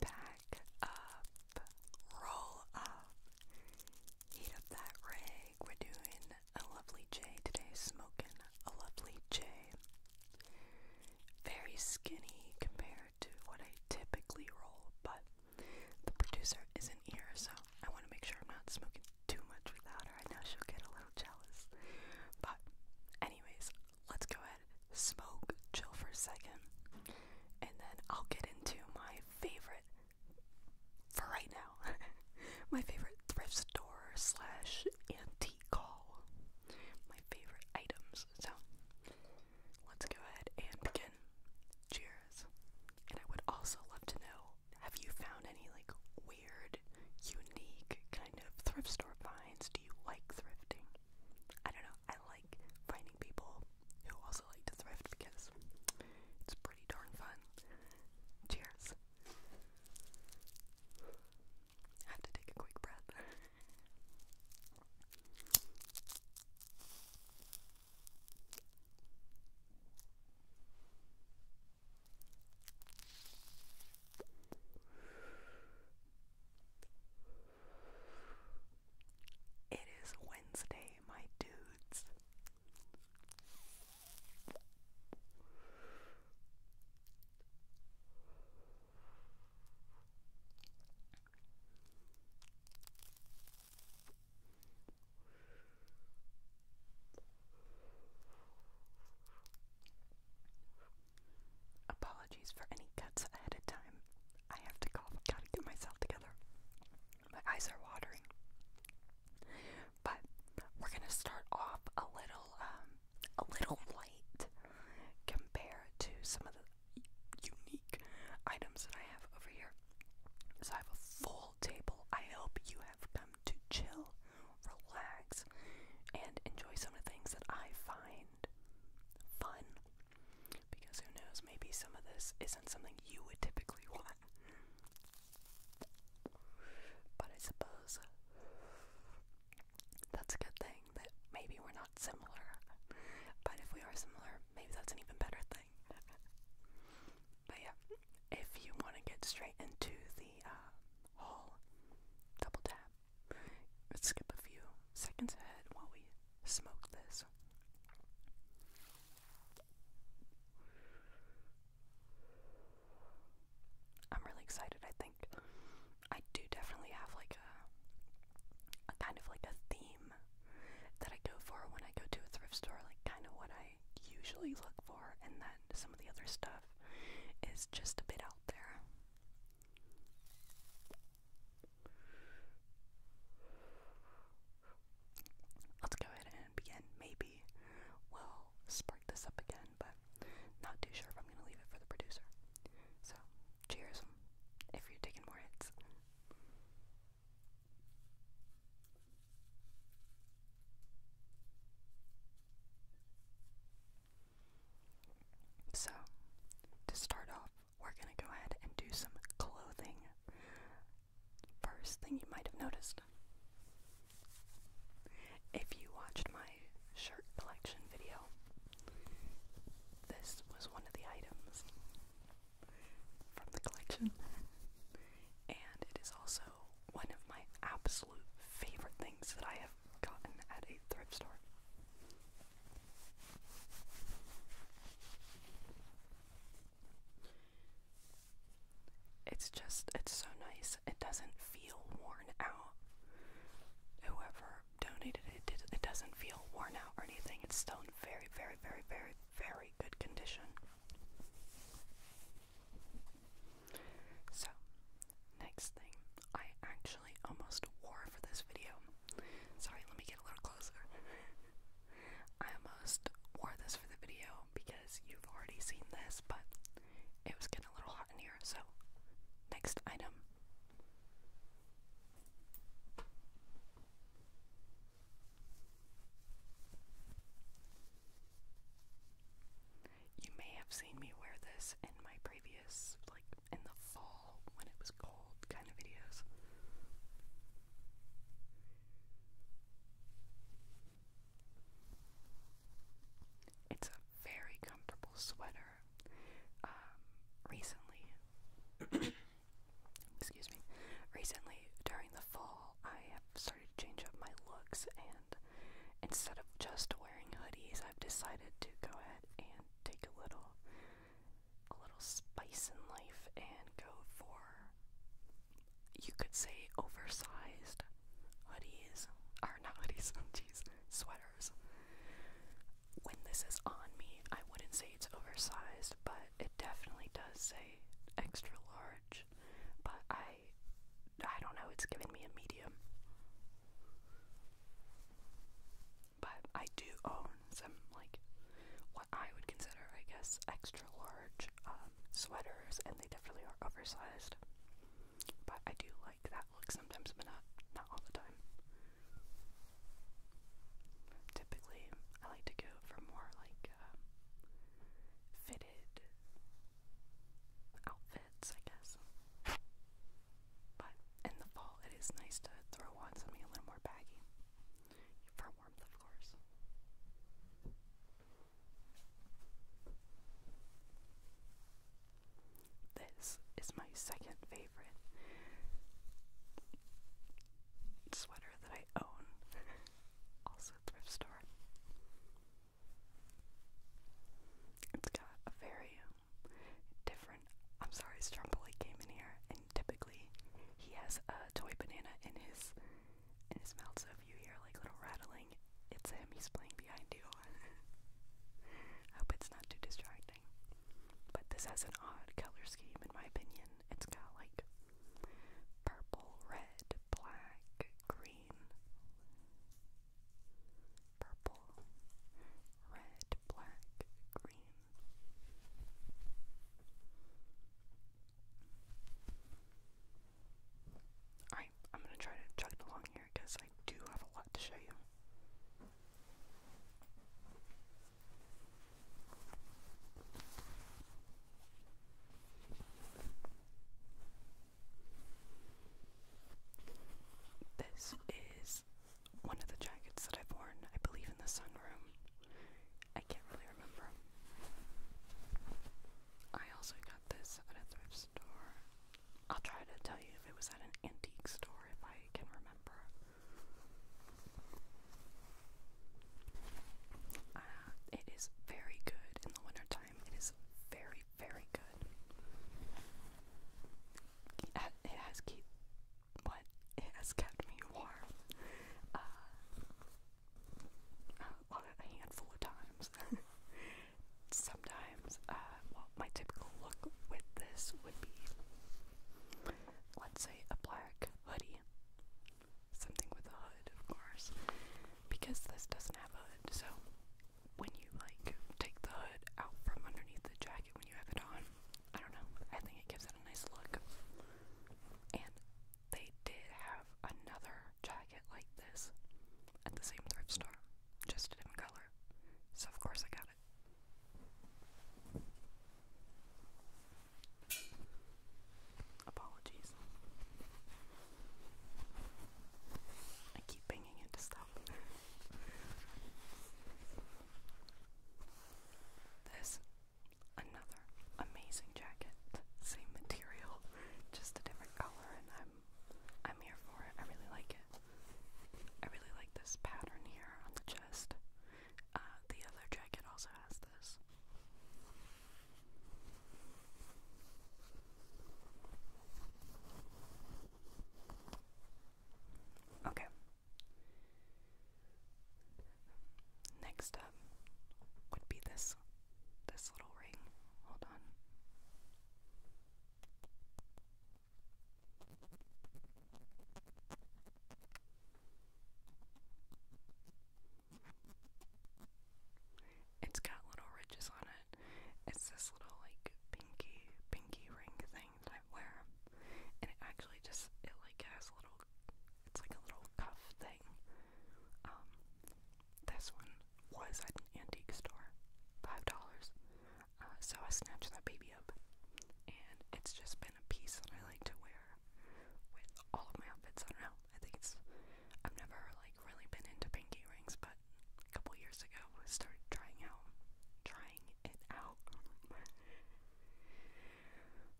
Back up, roll up, heat up that rig. We're doing a lovely J today, smoking a lovely J. Very skinny compared to what I typically roll, but the producer isn't here, so I want to make sure I'm not smoking too much without her. I know she'll get a little jealous. But, anyways, let's go ahead, smoke, chill for a second, and then I'll get into my favorite for right now. my favorite thrift store slash antique haul. My favorite items. So let's go ahead and begin. Cheers. And I would also love to know have you found any like weird, unique kind of thrift store finds? Do you like thrifting? I don't know. I like finding people who also like to thrift because it's pretty darn fun. Cheers. have to take a quick breath. It is Wednesday, my dudes. Apologies for any cuts ahead of time. I have to cough. Gotta get myself together. My eyes are watering. But we're gonna start off a little, um, a little light compared to some of the unique items that I have over here. So I have a full table. I hope you have come to chill, relax, and enjoy some of the things that I find fun because who knows, maybe some of this isn't something you would typically want. But I suppose that's a good thing that maybe we're not similar. But if we are similar, maybe that's an even better thing. but yeah, if you want to get straight into the uh, haul, double tap. Let's skip a few seconds ahead while we smoke this. I'm really excited. I think I do definitely have like a kind of like a theme that I go for when I go to a thrift store, like kind of what I usually look for, and then some of the other stuff is just a bit out there. Let's go ahead and begin. Maybe we'll spark this up again, but not too sure if I'm going to leave it for the producer. So, cheers if you're taking more hits. So, to start off, we're going to go ahead and do some clothing. First thing you might have noticed if you watched my shirt collection video, this was one of the items from the collection, and it is also one of my absolute favorite things that I have gotten at a thrift store. It's just, it's so nice. It doesn't feel worn out. Whoever donated it, it doesn't feel worn out or anything. It's still in very, very, very, very, very good condition. So, next thing I actually almost wore for this video. Sorry, let me get a little closer. I almost wore this for the video because you've already seen this, but it was getting a little hot in here, so next item. You may have seen me wear this in my previous like in the fall when it was cold kind of videos. It's a very comfortable sweater. Um, recently, excuse me, recently during the fall, I have started to change up my looks, and instead of just wearing hoodies, I've decided to go ahead and take a little a little spice in life and go for, you could say, oversized hoodies. Or not hoodies, sweaters. When this is on me, I wouldn't say it's oversized, but it definitely does say extra large. But I, I don't know, it's giving me a medium but I do own some like what I would consider, I guess, extra large um, sweaters, and they definitely are oversized. But I do like that look sometimes, but not not all the time. Typically, I like to go for more like um, fitted outfits, I guess. But in the fall, it is nice to throw on something a little more baggy. For warmth, of course. This is my second favorite sweater that I own, also thrift store. It's got a very different. I'm sorry, Stromboli came in here, and typically he has a toy banana in his in his mouth. So if you hear like little rattling, it's him. He's playing behind you. I hope it's not too distracting. But this has an odd color scheme, in my opinion. It's got like purple, red, black, green purple, red, black, green. Alright, I'm gonna try to chug along here because I do have a lot to show you. This is one of the jackets that I've worn, I believe in the sunroom. I can't really remember. I also got this at a thrift store. I'll try to tell you if it was at an antique store if I can remember. Uh, it is very good in the wintertime. It is very, very good it has keep what it has kept me warm uh, a, handful of times. Sometimes, uh, well, my typical look with this would be, let's say, a black hoodie, something with a hood, of course, because this doesn't have a hood. So when you like take the hood out from underneath the jacket when you have it on. I don't know. I think it gives it a nice look. And they did have another jacket like this at the same thrift store, just a different color. So, of course, I got it. Apologies. I keep banging into stuff. There's another amazing jacket. Same material, just a different color, and I'm I'm here for it. I really like it. I really like this pattern here on the chest. Uh, the other jacket also has this. Okay. Next up would be this this little ring. Hold on. It's got little ridges on it. It's this little like pinky pinky ring thing thing that I wear, and it actually just it like has a little, it's like a little cuff thing. Um, this one was at an antique store, five dollars. Uh, so I snatched that baby up, and it's just been a piece that I like to wear with all of my outfits. I don't know. I think it's I've never like really been into pinky rings, but couple years ago, I started trying out, trying it out.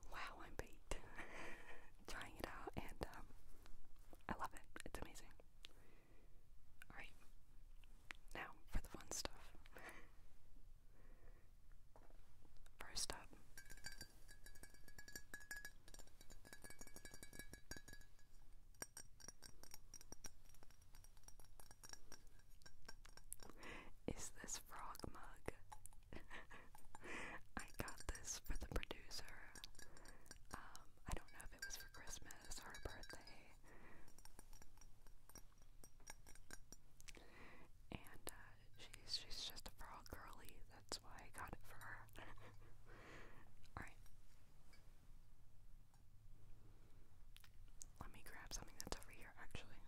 wow, I'm baked. trying it out, and um, I love it. It's amazing. Alright, now for the fun stuff. First up. Is this frog mug? I got this for the producer. Um, I don't know if it was for Christmas or birthday. And uh, she's she's just a frog girly. That's why I got it for her. All right. Let me grab something that's over here, actually.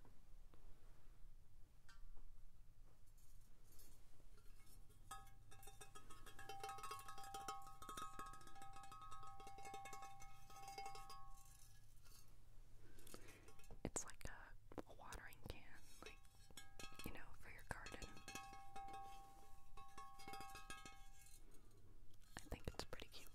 It's like a, watering can, like, you know, for your garden. I think it's pretty cute.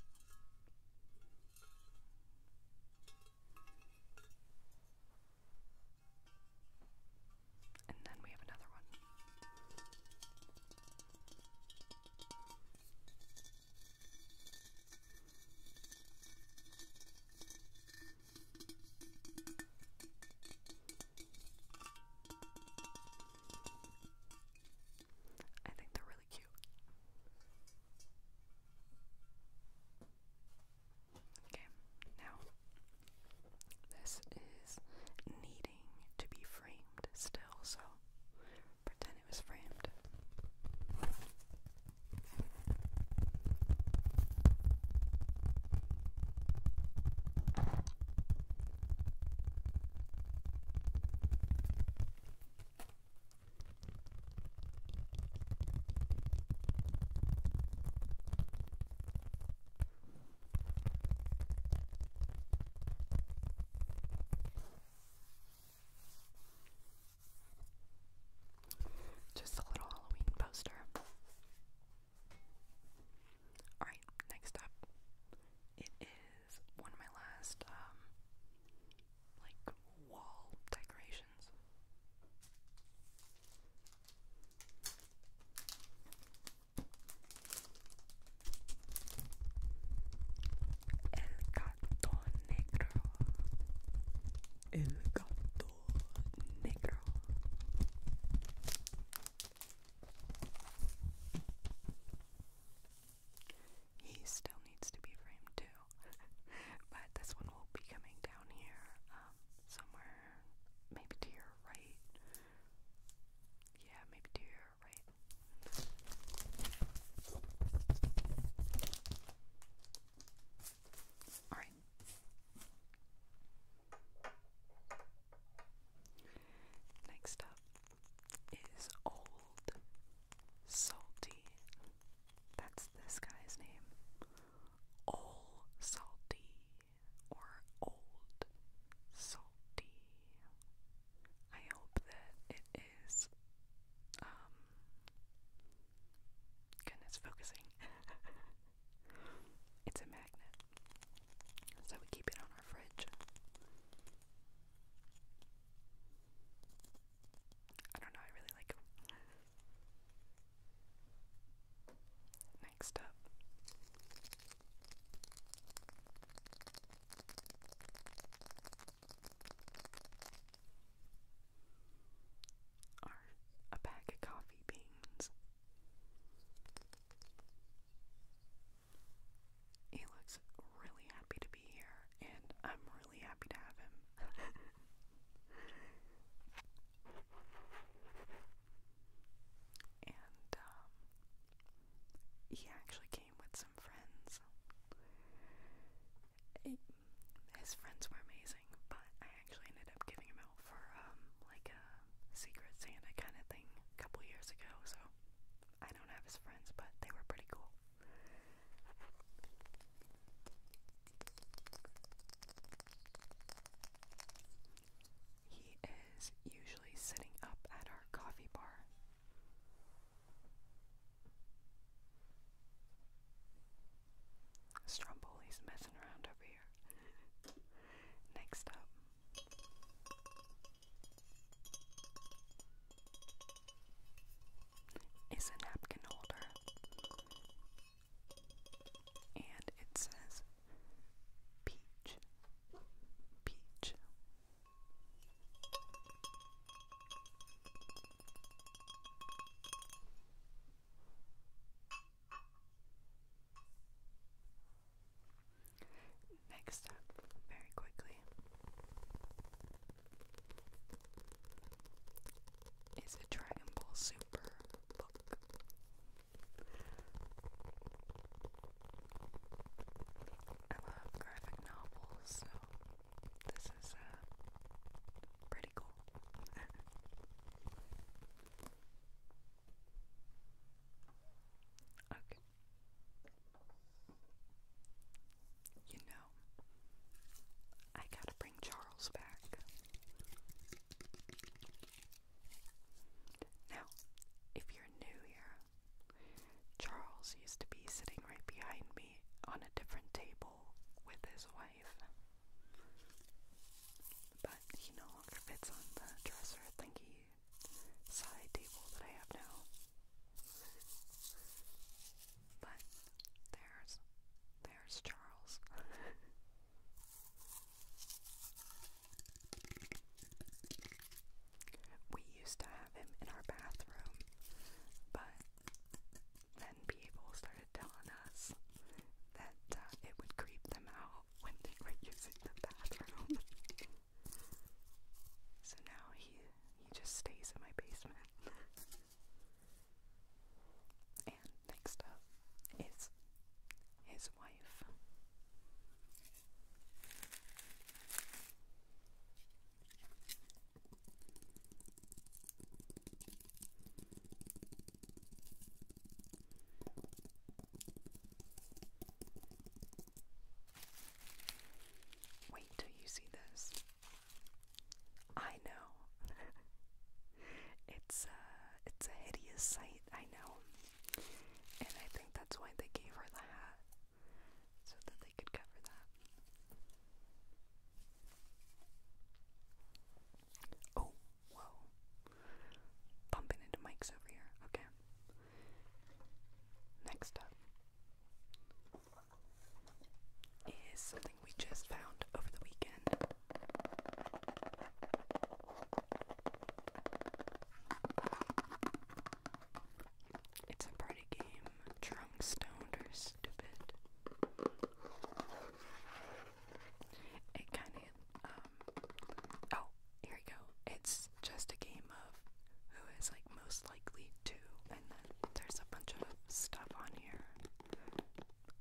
And then we have another one. I think they're really cute. Okay, now this is needing to be framed still, so pretend it was framed. Just a little Halloween poster. Alright, next up, it is one of my last um, like wall decorations. El negro. El gato negro. He still needs to be framed too, but this one will be coming down here, um, somewhere, maybe to your right. Yeah, maybe to your right. Alright. Next up is Old Salty. That's this guy's name. Old Salty or Old Salty. I hope that it is um goodness focusing. it's a magnet. So we keep it on our fridge. I don't know, I really like Next up. Are a pack of coffee beans. He looks really happy to be here, and I'm really happy to have him. and um, he actually came with some friends. his friends were amazing, but I actually ended up giving him out for um, like a Secret Santa kind of thing a couple years ago, so I don't have his friends, but they were pretty cool. He is usually sitting up at our coffee bar. Stromboli's messing around over here. Next up, is a napkin holder. And it says peach, peach. Next up, very quickly, is a Dragon Ball Super book. I love graphic novels, so this is uh, pretty cool. okay. You know, I gotta bring Charles back. Now, if you're new here, Charles used to be sitting right behind me on a different table with his wife. But he no longer fits on the dresser thingy side table that I have now. But there's there's Charles. we used to have him in our bathroom, but then people started telling us that uh, it would creep them out when they were using the bathroom. So now he he just stays in my basement. and next up is his wife. Wait till you see this. I know. it's uh it's a hideous sight, I know. And I think that's why they gave her the hat. So that they could cover that. Oh, whoa. Bumping into mics over here. Okay. Next up is something we just found over the weekend. It's a party game, drunk, stoned, or stupid. It kind of, um, oh, here we go. It's just a game name of who is like most likely to, and then there's a bunch of stuff on here.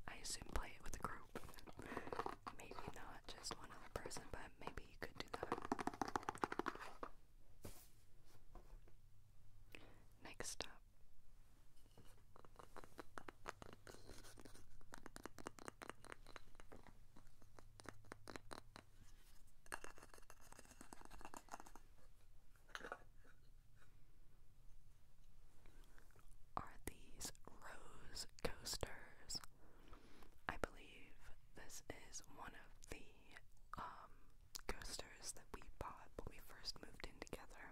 I assume play it with a group. Maybe not just one other person, but maybe you could do that. Next up. Are these rose coasters? I believe this is one of the um, coasters that we bought when we first moved in together.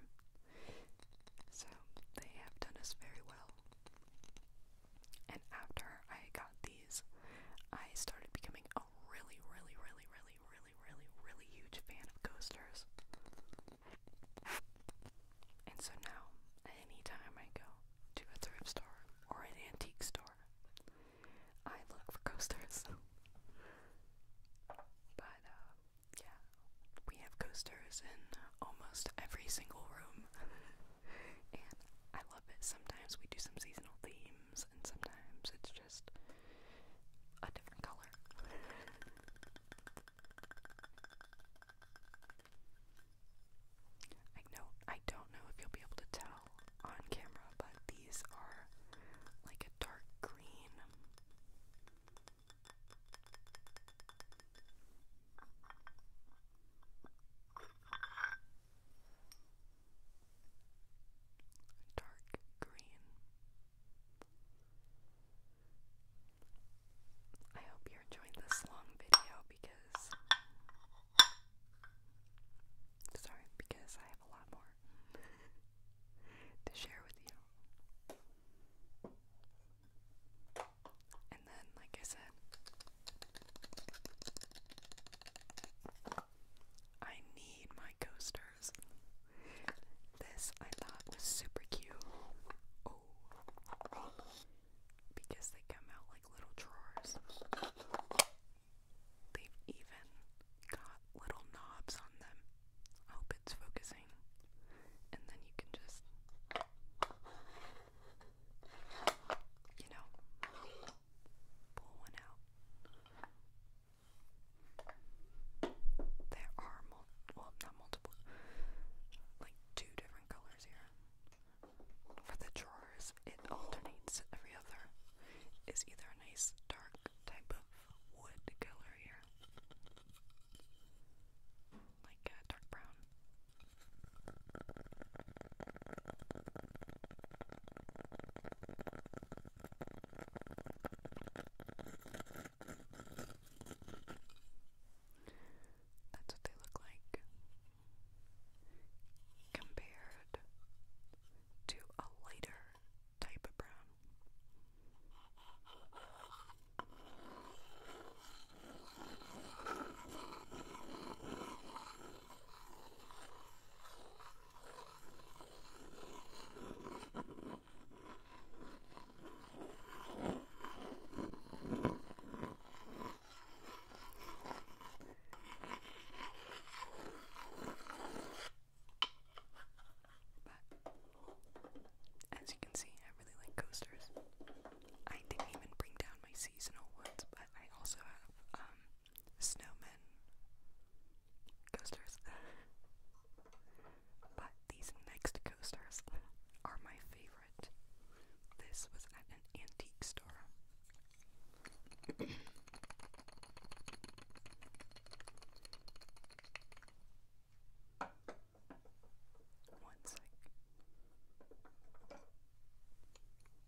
So they have done us very well. And after I got these, I started becoming really, really, really, really, really, really, really huge fan of coasters. And so now, anytime I go to a thrift store or an antique store, I look for coasters. but, uh, yeah, we have coasters in almost every single room. and I love it. Sometimes we do some seasonal themes and sometimes it's just a different color. I know I don't know if you'll be able to tell on camera, but these are like a dark green dark green. I hope you enjoyed this long video because sorry, because I have a lot more to share with you. And then, like I said, I need my coasters. This I thought was super cute. Oh. Because they come out like little drawers. They've even got little knobs on them. hope it's focusing. And then you can just, you know, pull one out. There are mul well, not multiple, like two different colors here. For the drawers, it alternates every other. Is either a nice dark type of wood color here, like a dark brown, that's what they look like compared to a lighter type of brown as you can see, I really like coasters. I didn't even bring down my seasonal ones, but I also have um, snowmen, coasters. but these next coasters are my favorite. This was at an antique store. One sec.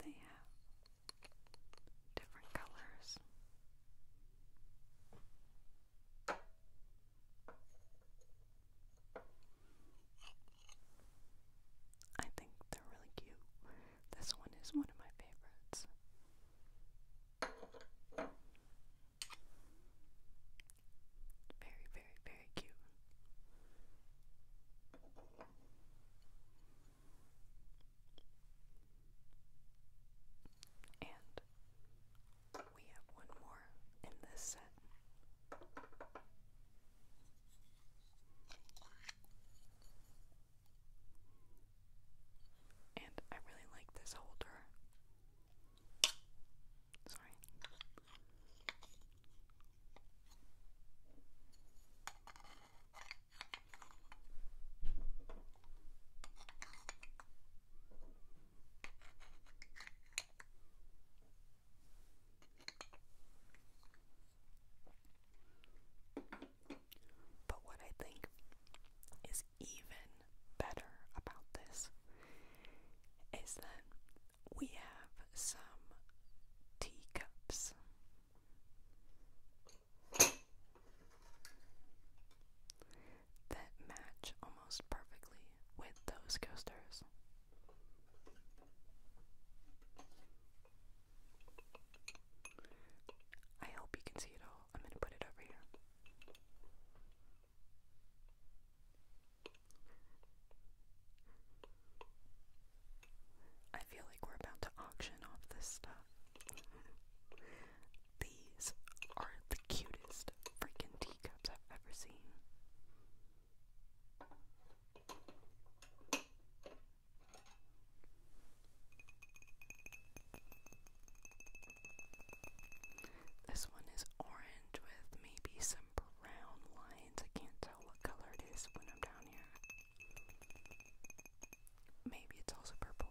They have different colors. I think they're really cute. This one is one of my favorites. Very, very, very cute. And we have one more in this set. And I really like this holder. Sorry. But what I think is even better about this is that we have some teacups that match almost perfectly with those coasters. I hope you can see it all. I'm going to put it over here. I feel like we're about to auction off this stuff. These are the cutest freaking teacups I've ever seen. This one is orange with maybe some brown lines. I can't tell what color it is when I'm down here. Maybe it's also purple.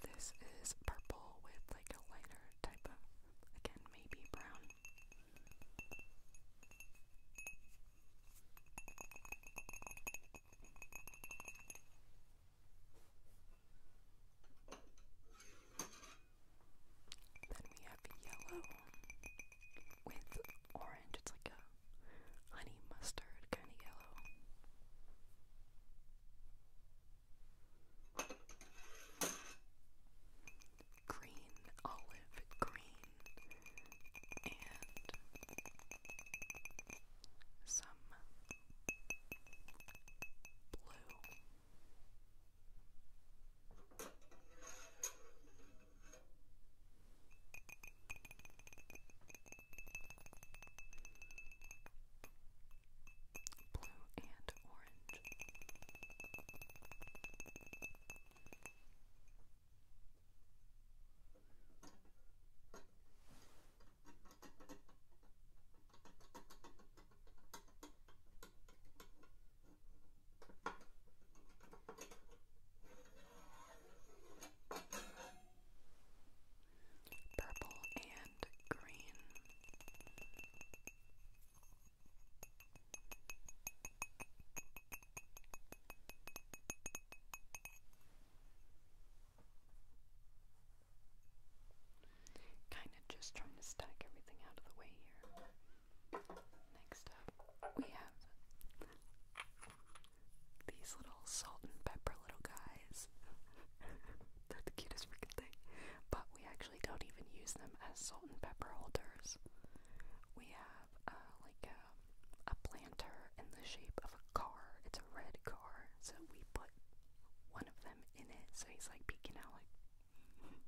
This is purple with like a lighter type of, again, maybe brown. Then we have yellow with orange. It's like a honey mustard kind of yellow. Green, olive green, and some blue. Blue and orange. Purple and green. Kinda just trying to stack everything out of the way here. Next up, we have these little salt and pepper little guys. They're the cutest freaking thing. But we actually don't even use them as salt and pepper holders. We have uh, like a, a planter in the shape of a car. It's a red car, so we put one of them in it, so he's like peeking out like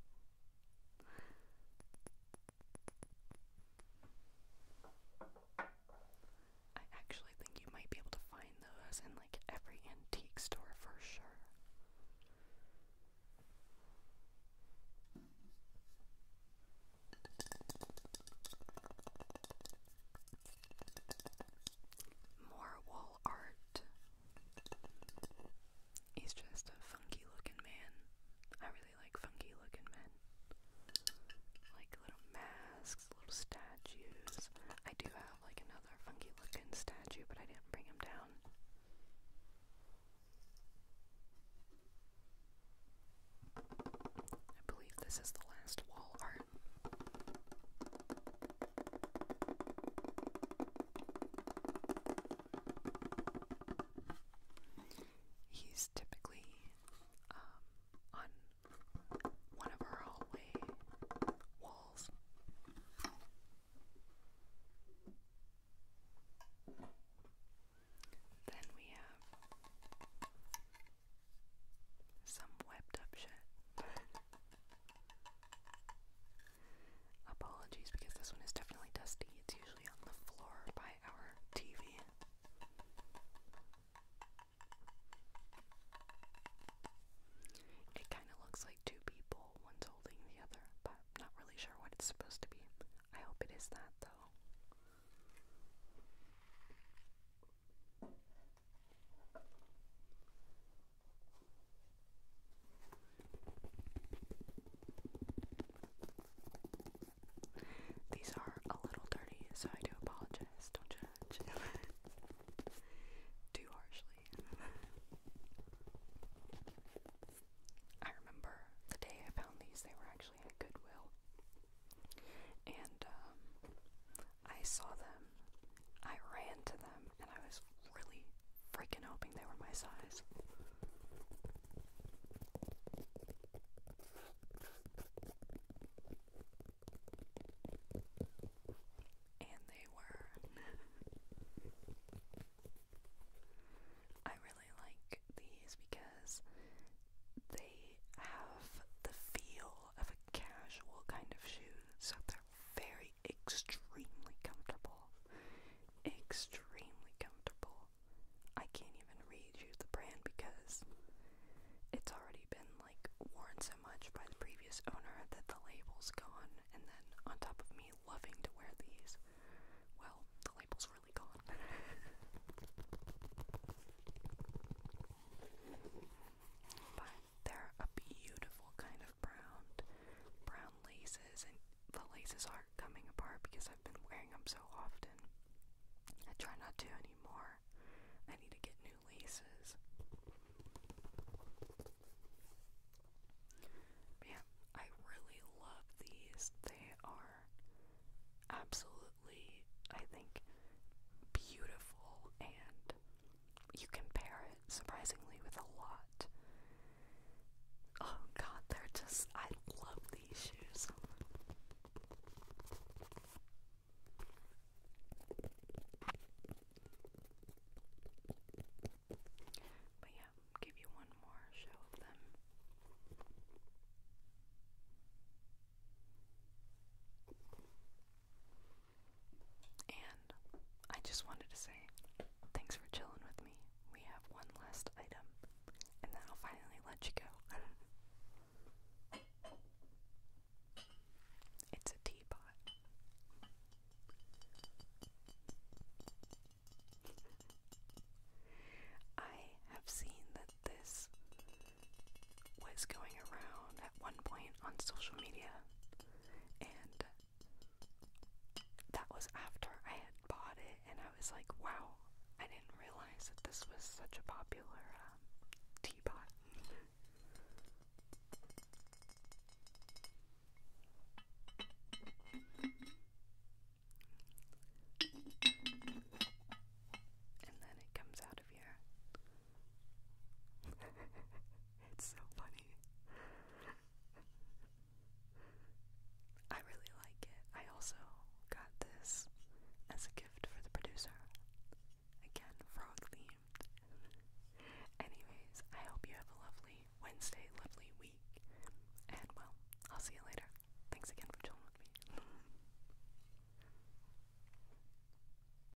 I actually think you might be able to find those in like every antique store for sure. More wool art. He's just a funky looking man. I really like funky looking men. Like little masks, little statues. I do have like another funky looking statue, but I didn't bring him down. I believe this is the last wall art. He's typically um, on one of our hallway walls. Then we have some webbed up shit. Apologies because this one is definitely dusty. It's usually on the floor by our TV. It kind of looks like two people, one's holding the other, but not really sure what it's supposed to be. I hope it is that though. These are a little dirty, so I do apologize. Don't judge too harshly. I remember the day I found these, they were actually at Goodwill. And um, I saw them, I ran to them, and I was really freaking hoping they were my size. And they were. I really like these because they have the feel of a casual kind of shoes so they very extremely comfortable. Extremely comfortable. I can't even read you the brand because it's already been like worn so much by the previous owner that the label's gone and then on top of me loving to wear these, well, the label's really gone. but they're a beautiful kind of brown, brown laces, and the laces are coming apart because I've been wearing them so often. I try not to anymore. I need to get new laces. yeah, I really love these. They are absolutely, I think, beautiful and you can pair it surprisingly with a lot. Oh god, they're just I love these shoes. But yeah, give you one more show of them. And I just wanted to say thanks for chilling with me. We have one last item, and then I'll finally let you go. It's a teapot. I have seen that this was going around at one point on social media and that was after I had bought it, and I was like, wow, I didn't realize that this was such a popular um, teapot. And then it comes out of here. It's so funny. I really like it. I also got this as a gift for the producer. Again, frog themed. Anyways, I hope you have a lovely Wednesday, lovely week. And well, I'll see you later. Thanks again for chilling me.